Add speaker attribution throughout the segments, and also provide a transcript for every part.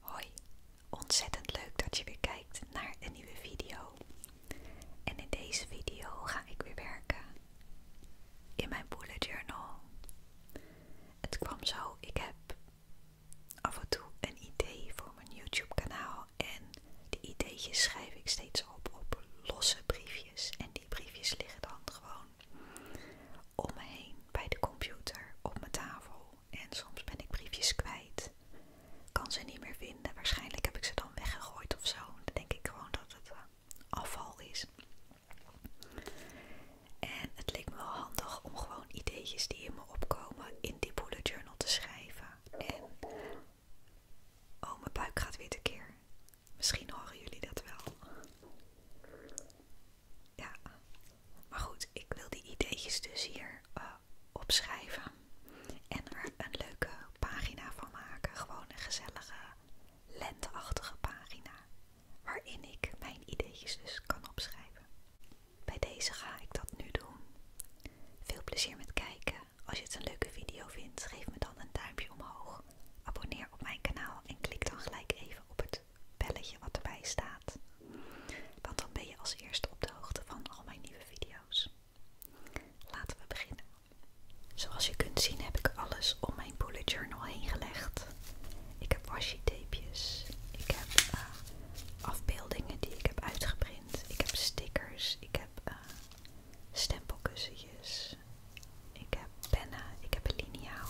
Speaker 1: Hoi, ontzettend leuk dat je weer kijkt naar een nieuwe video. En in deze video ga ik weer werken in mijn bullet journal. Het kwam zo, ik heb af en toe een idee voor mijn YouTube kanaal en die ideetjes schrijf ik steeds op op losse briefjes en die briefjes liggen dan gewoon om me heen bij de computer op mijn tafel. En soms ben ik briefjes kwijt. Kan ze niet meer vinden. Waarschijnlijk heb ik ze dan weggegooid of zo. Dan denk ik gewoon dat het eh, afval is. En het lijkt me wel handig om gewoon ideetjes die in me opkomen in die bullet journal te schrijven. En oh, mijn buik gaat weer tekeer. Misschien horen jullie dat wel. Ja, maar goed, ik wil die ideetjes dus hier eh, opschrijven en er een leuke pagina van maken. Gewoon een gezellige, lenteachtige pagina waarin ik mijn ideetjes dus kan opschrijven. Bij deze ga ik dat nu doen. Veel plezier met kijken als je het een leuke video vindt, geef me dan een duimpje omhoog. Abonneer op mijn kanaal en klik dan gelijk even op het belletje wat erbij staat. Want dan ben je als eerste op de hoogte van al mijn nieuwe video's. Laten we beginnen. Zoals je kunt zien heb ik alles om mijn bullet journal heen gelegd. Ik heb washi tapejes, ik heb eh, afbeeldingen die ik heb uitgeprint, ik heb stickers, ik heb eh, stempelkussentjes. Ik heb pennen, ik heb een liniaal.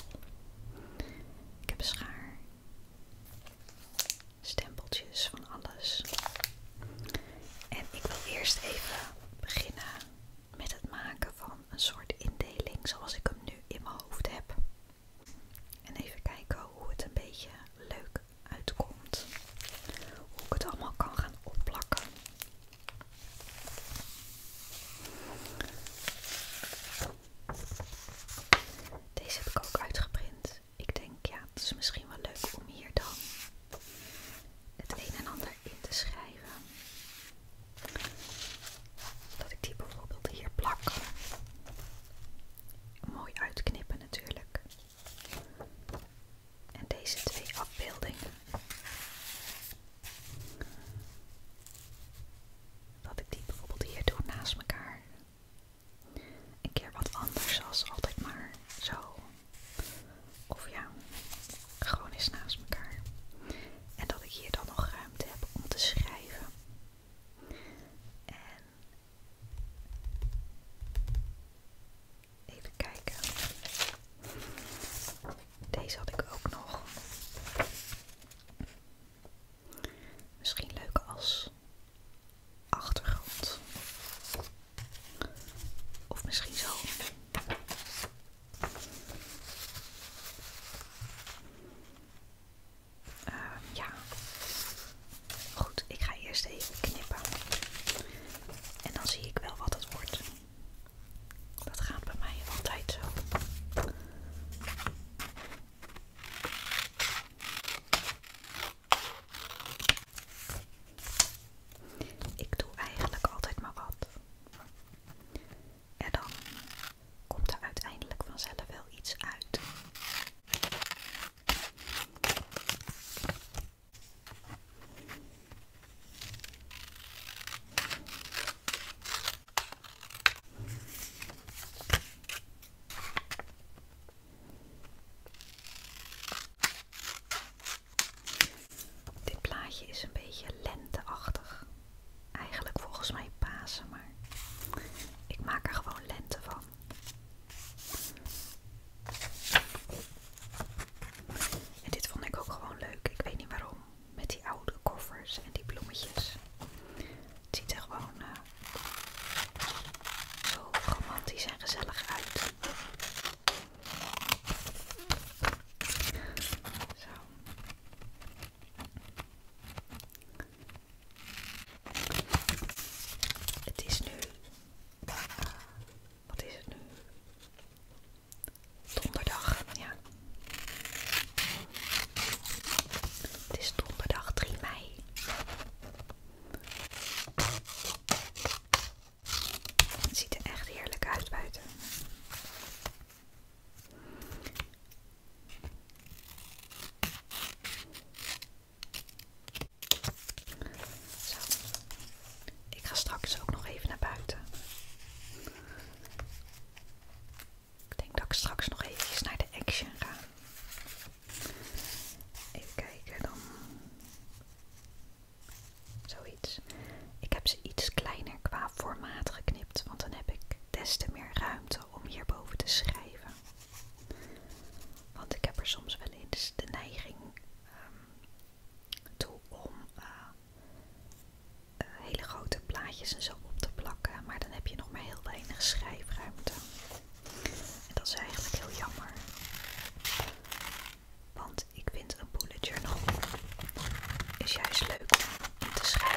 Speaker 1: Ik heb schaar. Stempeltjes van alles. En ik wil eerst even beginnen met het maken van een soort indeling zoals ik hem nu in mijn hoofd heb. En even kijken hoe het een beetje leuk uitkomt. Hoe ik het allemaal kan gaan opplakken. Deze heb ik ook uitgeprint. Ik denk, ja, het is misschien wel leuk om hier dan het een en ander in te schrijven. Dat ik die bijvoorbeeld hier plak. Mooi uitknippen natuurlijk en deze twee afbeeldingen. Dat ik die bijvoorbeeld hier doe naast elkaar. Een keer wat anders als altijd maar zo. Of ja, gewoon eens naast elkaar. En dat ik hier dan nog ruimte heb om te schrijven. En Even kijken. Deze had ik ook nog. Misschien leuk als achtergrond. Of misschien zo. Ehm, ja. Goed, ik ga eerst even knippen. En dan zie ik wel wat het wordt. Dat gaat bij mij altijd zo. Ik doe eigenlijk altijd maar wat. En dan komt er uiteindelijk vanzelf wel iets uit. Dit plaatje is een beetje lenteachtig. Eigenlijk volgens mij Pasen, maar ik maak er gewoon lente van. En dit vond ik ook gewoon leuk. Ik weet niet waarom. Met die oude koffers en die bloemetjes. ziet er gewoon eh, zo romantisch en gezellig uit. Zo. Het is nu eh, wat is het nu? Donderdag, ja. Het is donderdag 3 mei. Het ziet er echt heerlijk uit buiten. Zo. Ik ga straks ook nog even naar buiten. Ik denk dat ik straks nog even naar de Action ga. Even kijken dan. Zoiets. Ik heb ze iets kleiner qua formaat geknipt, want dan heb ik des te meer ruimte om hierboven te schrijven. Want ik heb er soms wel eens de neiging ehm, toe om eh, eh, hele grote plaatjes en zo op te plakken. Maar dan heb je nog maar heel weinig schrijfruimte. En dat is eigenlijk heel jammer. Want ik vind een bullet journal is juist leuk om te schrijven.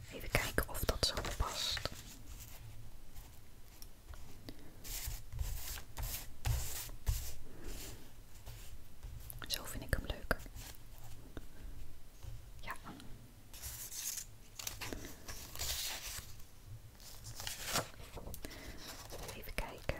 Speaker 1: Even kijken of dat zo past. Zo vind ik hem leuker. Ja. Even kijken.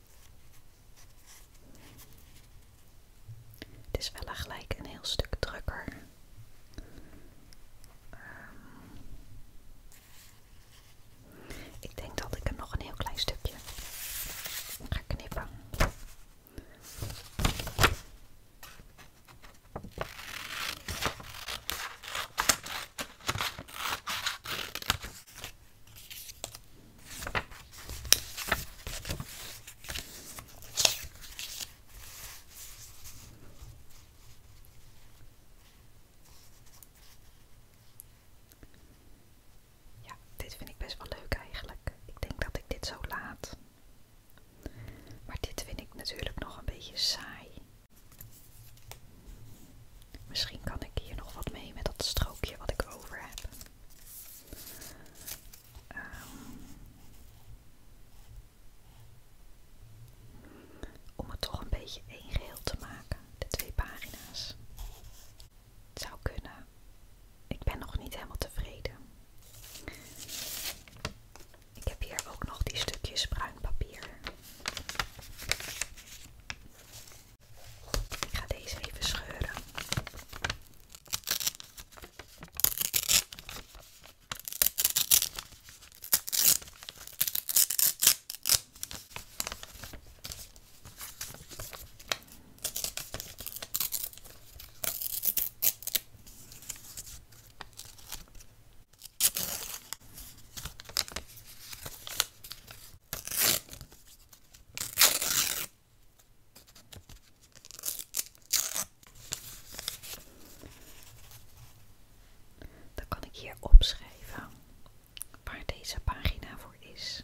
Speaker 1: Het is wel gelijk een heel stuk drukker. Ehm, ik denk dat ik er nog een heel klein stukje ga knippen. Ja, dit vind ik best wel leuk eigenlijk. Ik denk dat ik dit zo laat. Maar dit vind ik natuurlijk nog een beetje saai. Misschien kan ik hier nog wat mee met dat strookje wat ik over heb. Ehm, om het toch een beetje één geheel te maken, de twee pagina's. Het zou kunnen. Ik ben nog niet helemaal tevreden. Ik heb hier ook nog die stukjes bruin papier. Ik ga deze even scheuren. Dan kan ik hier opschrijven waar deze pagina voor is.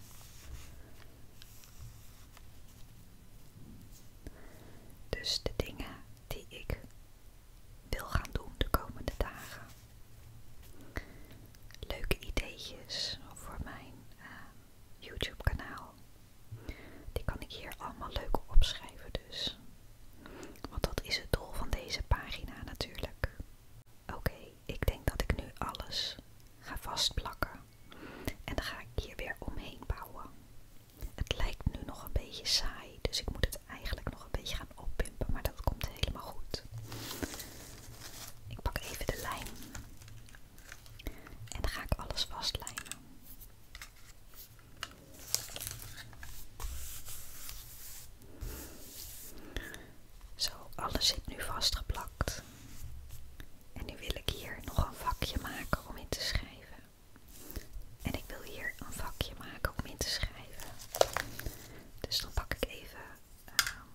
Speaker 1: Dus de dingen die ik wil gaan doen de komende dagen leuke ideetjes voor mijn eh, YouTube kanaal. Die kan ik hier allemaal leuk opschrijven dus. Want dat is het doel van deze pagina natuurlijk. Oké, ik denk dat ik nu alles ga vastplakken. En dan ga ik hier weer omheen bouwen. Het lijkt nu nog een beetje saai, dus ik moet het eigenlijk nog een beetje gaan oppimpen. Maar dat komt helemaal goed. Ik pak even de lijn. En dan ga ik alles vastlijnen. Zo, alles zit nu vastgeplakt. En nu wil ik hier nog een vakje maken om in te schrijven. En ik wil hier een vakje maken om in te schrijven. Dus dan pak ik even ehm,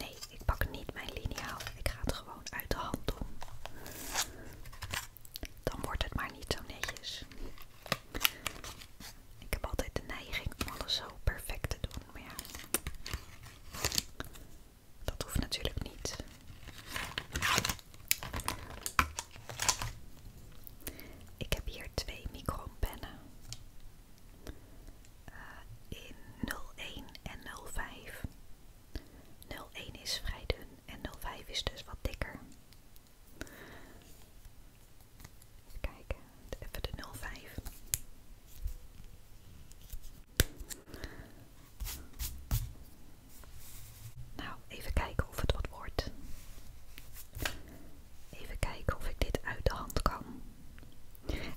Speaker 1: Nee, ik pak niet mijn liniaal. Ik ga het gewoon uit de hand doen. Dan wordt het maar niet zo netjes. Ik heb altijd de neiging om alles zo perfect te doen, maar ja. Dat hoeft natuurlijk niet. Ik heb hier twee micropennen. Eh, in 01 en 05. 01 is vrij dun en 05 is dus wat dikker. Even kijken, even de 05. Nou, even kijken of het wat wordt. Even kijken of ik dit uit de hand kan.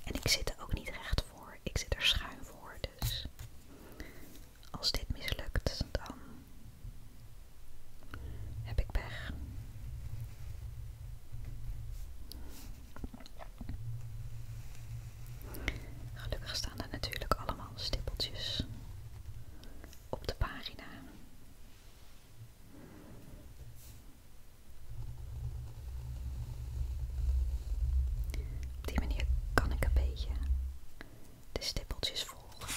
Speaker 1: En ik zit er ook niet recht voor. Ik zit er schuin voor. Dus als dit mislukt, dan heb ik pech. Gelukkig staan er natuurlijk allemaal stippeltjes op de pagina. Op die manier kan ik een beetje de stippeltjes volgen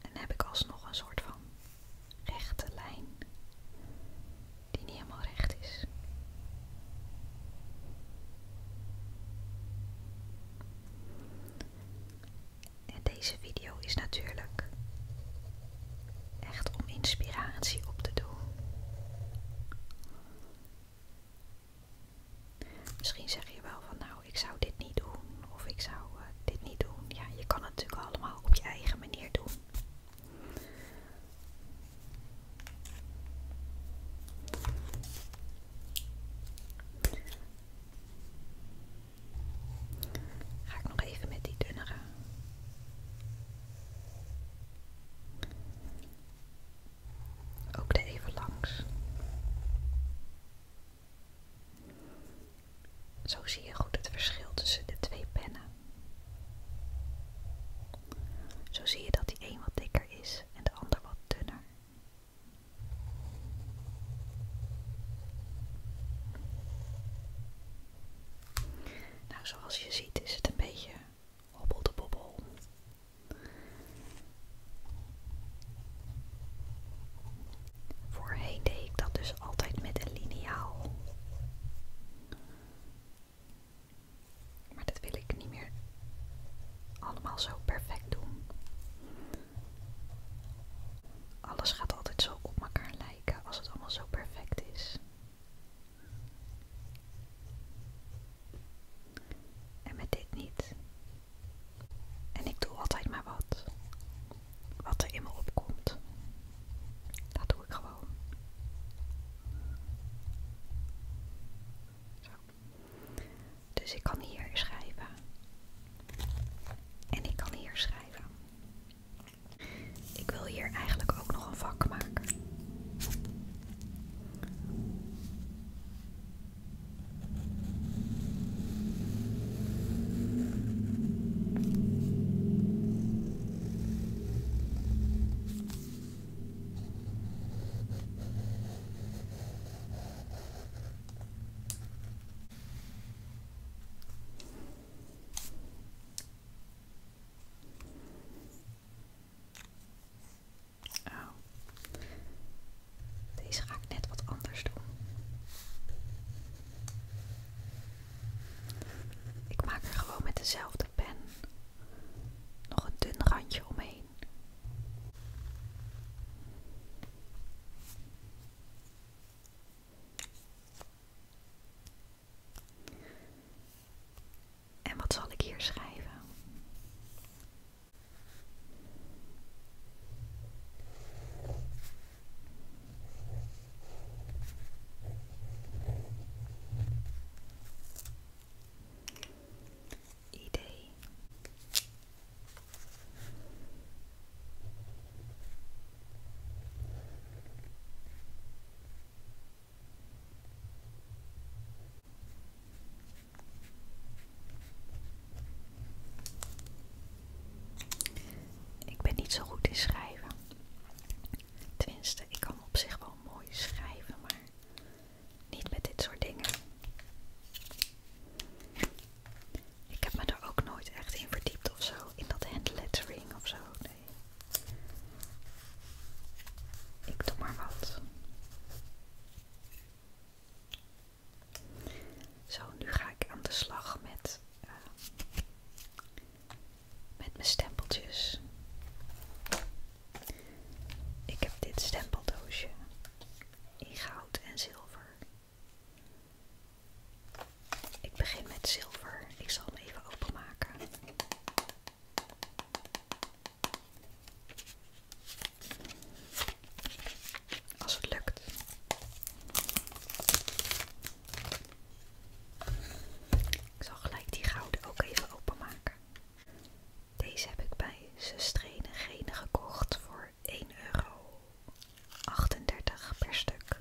Speaker 1: en heb ik alsnog een soort van rechte lijn die niet helemaal recht is. En deze video is natuurlijk Echt om inspiratie op te doen. Misschien zeg je wel van nou, ik zou dit niet doen of ik zou eh, dit niet doen. Ja, je kan het natuurlijk allemaal op je eigen manier doen. Ga ik nog even met die dunneren. Ook de even langs. Zo zie je goed het verschil tussen de twee pennen. Zo zie je dat die een wat dikker is en de ander wat dunner. Nou, zoals je ziet is het een beetje hobbel de bobbel. Voorheen deed ik dat dus altijd met een liniaal. Maar dat wil ik niet meer allemaal zo perfect doen. Alles gaat altijd zo op elkaar lijken kijken als het allemaal zo perfect is. En met dit niet. En ik doe altijd maar wat. Wat er in me opkomt. Dat doe ik gewoon. Dus ik kan hier schrijven. En ik kan hier schrijven. Ik wil hier eigenlijk ook nog een vak maken. Oh. Deze ga ik net wat anders doen. Ik maak er gewoon met dezelfde pen nog een dun randje omheen. En wat zal ik hier schrijven? Idee. Ik ben niet zo goed in schrijven. Tenminste, ik kan op zich wel mooi schrijven, maar niet met dit soort dingen. Ik heb me daar ook nooit echt in verdiept of zo. In dat hand lettering of zo. Nee. Ik doe maar wat. Zo, nu ga ik aan de slag met, eh, met mijn stempeltjes. Ik heb dit stempeldoosje in goud en zilver. Ik begin met zilver. Ik zal hem even openmaken. Als het lukt. Ik zal gelijk die gouden ook even openmaken. Deze heb ik bij Sustrene Gene gekocht voor 1 euro. 38 per stuk.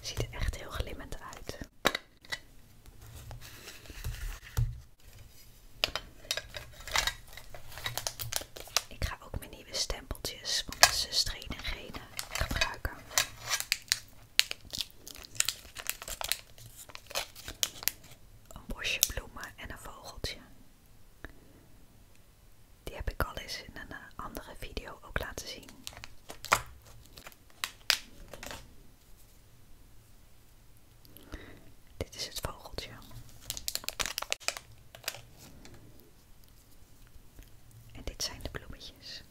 Speaker 1: Ziet er echt heel glimmend uit. Ik ga ook mijn nieuwe stempeltjes van de dus gebruiken. Een bosje bloemen en een vogeltje. Die heb ik al eens in een eh, andere video ook laten zien. Dit is het vogeltje. En dit zijn de bloemetjes.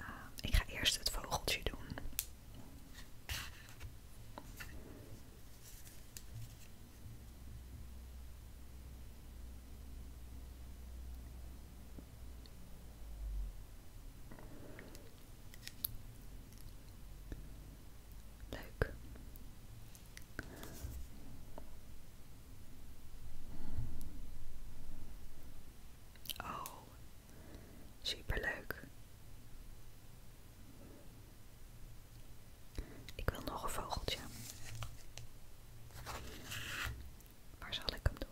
Speaker 1: Uh, ik ga eerst het vogeltje doen. Leuk. Oh, superleuk. Ik wil nog een vogeltje. Waar zal ik hem doen?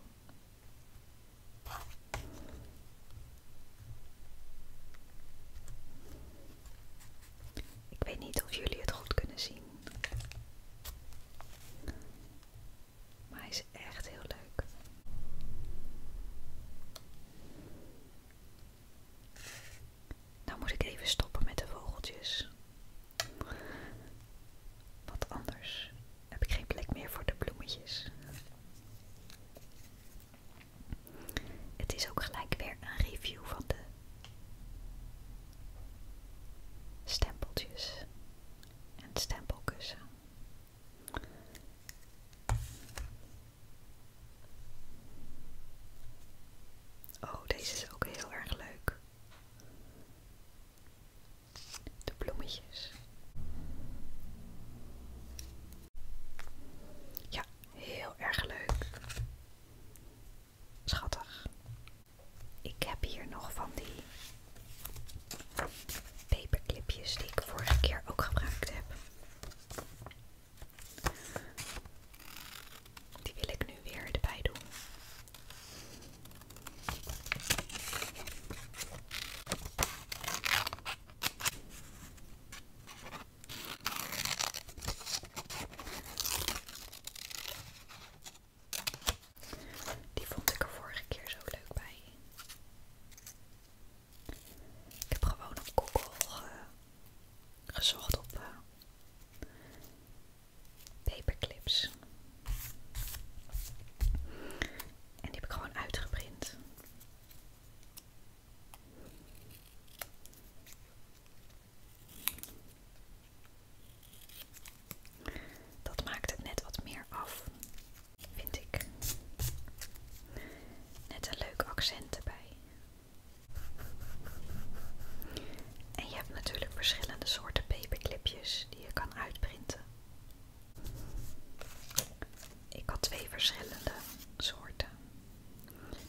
Speaker 1: Ik weet niet of jullie het goed kunnen zien. Maar is echt heel leuk. Nou moet ik even stoppen met de vogeltjes. Want anders heb ik geen plek meer voor de bloemetjes. Het is ook gelijk weer een review van de stempeltjes en stempelkussen. Oh, deze is ook heel erg leuk. De bloemetjes. Ja, heel erg leuk. Schattig. Ik heb hier nog van die paperclipjes die ik vorige keer ook gebruikt heb. Die wil ik nu weer erbij doen. Die vond ik er vorige keer zo leuk bij. Ik heb gewoon op Google gezocht op eh, paperclips. En die heb ik gewoon uitgeprint. Dat maakt het net wat meer af, vind ik. Net een leuk accent erbij. En je hebt natuurlijk verschillende soorten paperclipjes die je kan uitprinten. Ik had twee verschillende soorten.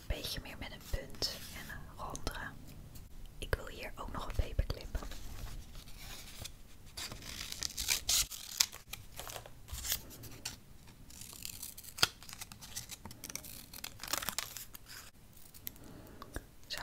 Speaker 1: beetje meer met een punt en een rondere. Ik wil hier ook nog een paperclip. Zo.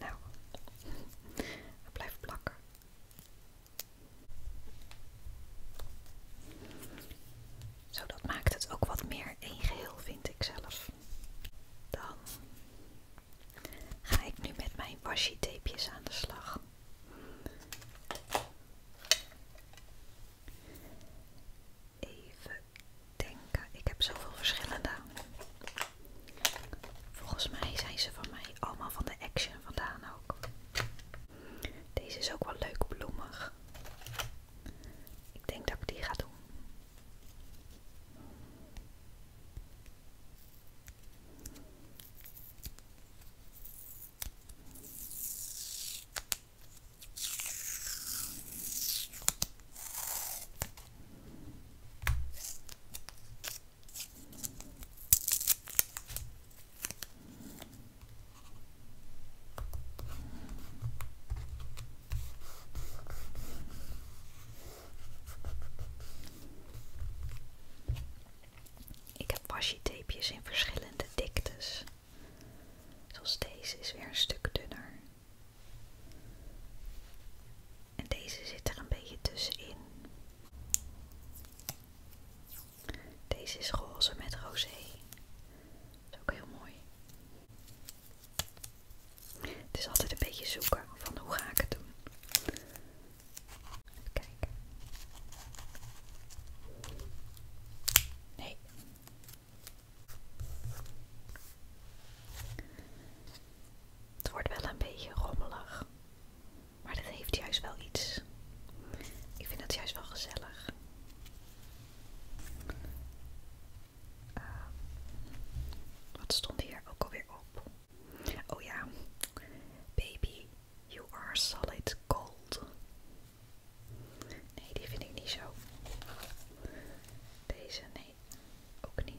Speaker 1: Nou, het blijft plakken. Zo, dat maakt het ook wat meer een geheel, vind ik zelf. Dan ga ik nu met mijn washi tapejes aan de slag. Even denken, ik heb zoveel verschillende. Volgens mij zijn ze van mij allemaal van de Action vandaan ook. Deze is ook wel leuk bloemig. Ik denk dat ik die ga doen. Ik heb washi-tapejes in verschillende diktes. Zoals deze is weer een stuk dunner. En deze zit er een beetje tussenin. Deze is roze met rosé. ook heel mooi. Het is altijd een beetje zoeken van hoe ga ik het doen. Even kijken. Nee. Het wordt wel een beetje rommelig. Maar dat heeft juist wel iets. Ik vind dat juist wel gezellig. Ehm, wat stond hier ook alweer op? Oh ja, baby, you are solid gold. Nee, die vind ik niet zo. Deze, nee, ook niet.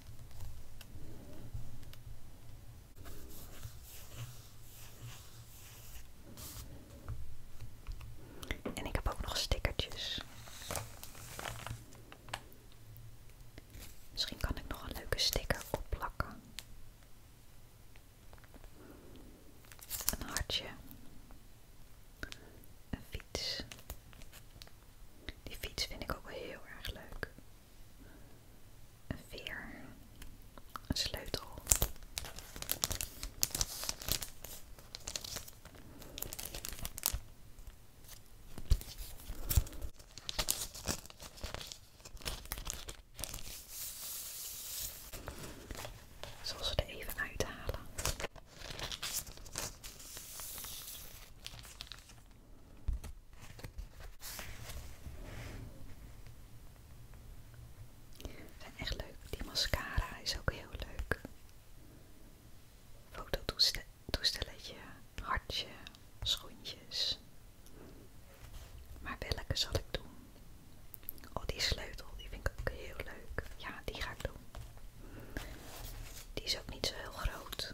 Speaker 1: En ik heb ook nog stickertjes. Misschien kan ik nog een leuke sticker opplakken. Een hartje. Een fiets. Die fiets vind ik ook wel heel erg leuk een veer, een sleutel. even uithalen. Zijn echt leuk. Die mascara is ook heel leuk. toestelletje, hartje, schoentjes. Maar welke zal ik doen? Oh, die sleutel, die vind ik ook heel leuk. Ja, die ga ik doen. Die is ook niet zo heel groot.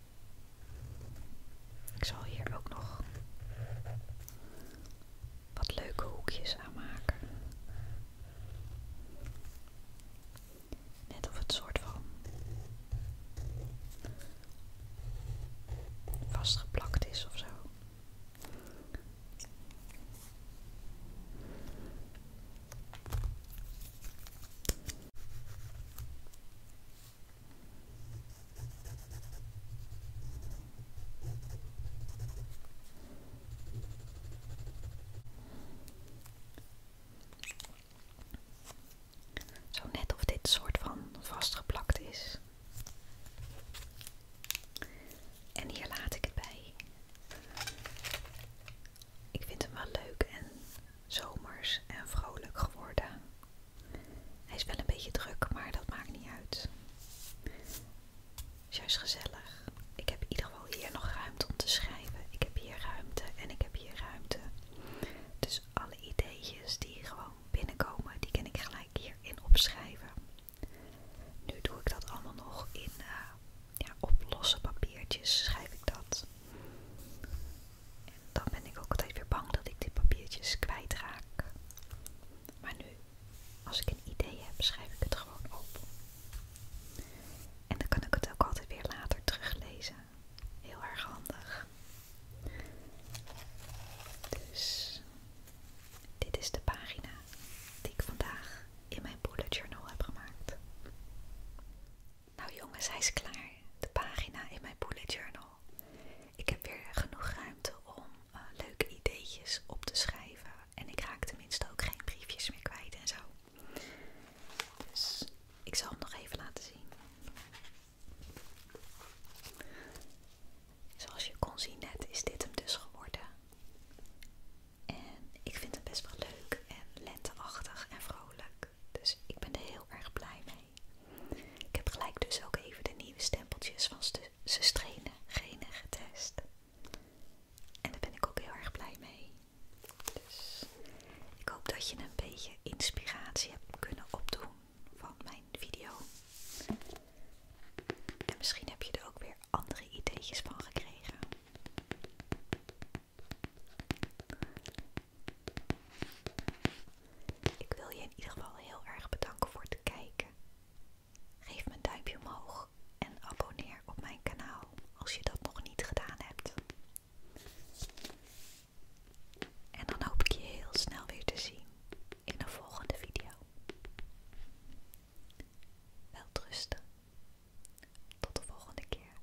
Speaker 1: Ik zal hier ook nog wat leuke hoekjes aan maken. Net of het soort van vastgeplakt is of zo. Zo net of dit soort van vastgeplakt is. En hier laat ik het bij. Ik vind hem wel leuk en zomers en vrolijk geworden. Hij is wel een beetje druk, maar dat maakt niet uit. Het is juist gezellig. Ik heb in ieder geval hier nog ruimte om te schrijven. Ik heb hier ruimte en ik heb hier ruimte. Dus alle ideetjes die gewoon binnenkomen, die kan ik gelijk hier in opschrijven. Nu doe ik dat allemaal nog in eh, op losse papiertjes schrijf ik dat dan ben ik ook altijd weer bang dat ik die papiertjes kwijtraak. Maar nu, als ik een idee heb, schrijf ik het gewoon op. En dan kan ik het ook altijd weer later teruglezen. Heel erg handig. Dus dit is de pagina die ik vandaag in mijn bullet journal heb gemaakt. Nou jongens, hij is klaar. De pagina in mijn bullet journal. Ik heb weer genoeg ruimte om eh, leuke ideetjes op te schrijven. En ik raak tenminste ook geen briefjes meer kwijt en zo. Dus ik zal hem nog even laten zien. Zoals je kon zien net is dit hem dus geworden. En ik vind hem best wel leuk en lenteachtig en vrolijk. Dus ik ben er heel erg blij mee. Ik heb gelijk dus ook even de nieuwe stempeltjes van Sustrene genen getest. En daar ben ik ook heel erg blij mee. Dus ik hoop dat je een beetje inspiratie hebt kunnen opdoen van mijn video. En misschien heb je er ook weer andere ideetjes van gekregen. Ik wil je in ieder geval heel erg bedanken voor het kijken. Geef me een duimpje omhoog en abonneer op mijn kanaal als je dat nog niet gedaan hebt. En dan hoop ik je heel snel weer te zien in de volgende video. Welterusten. Tot de volgende keer.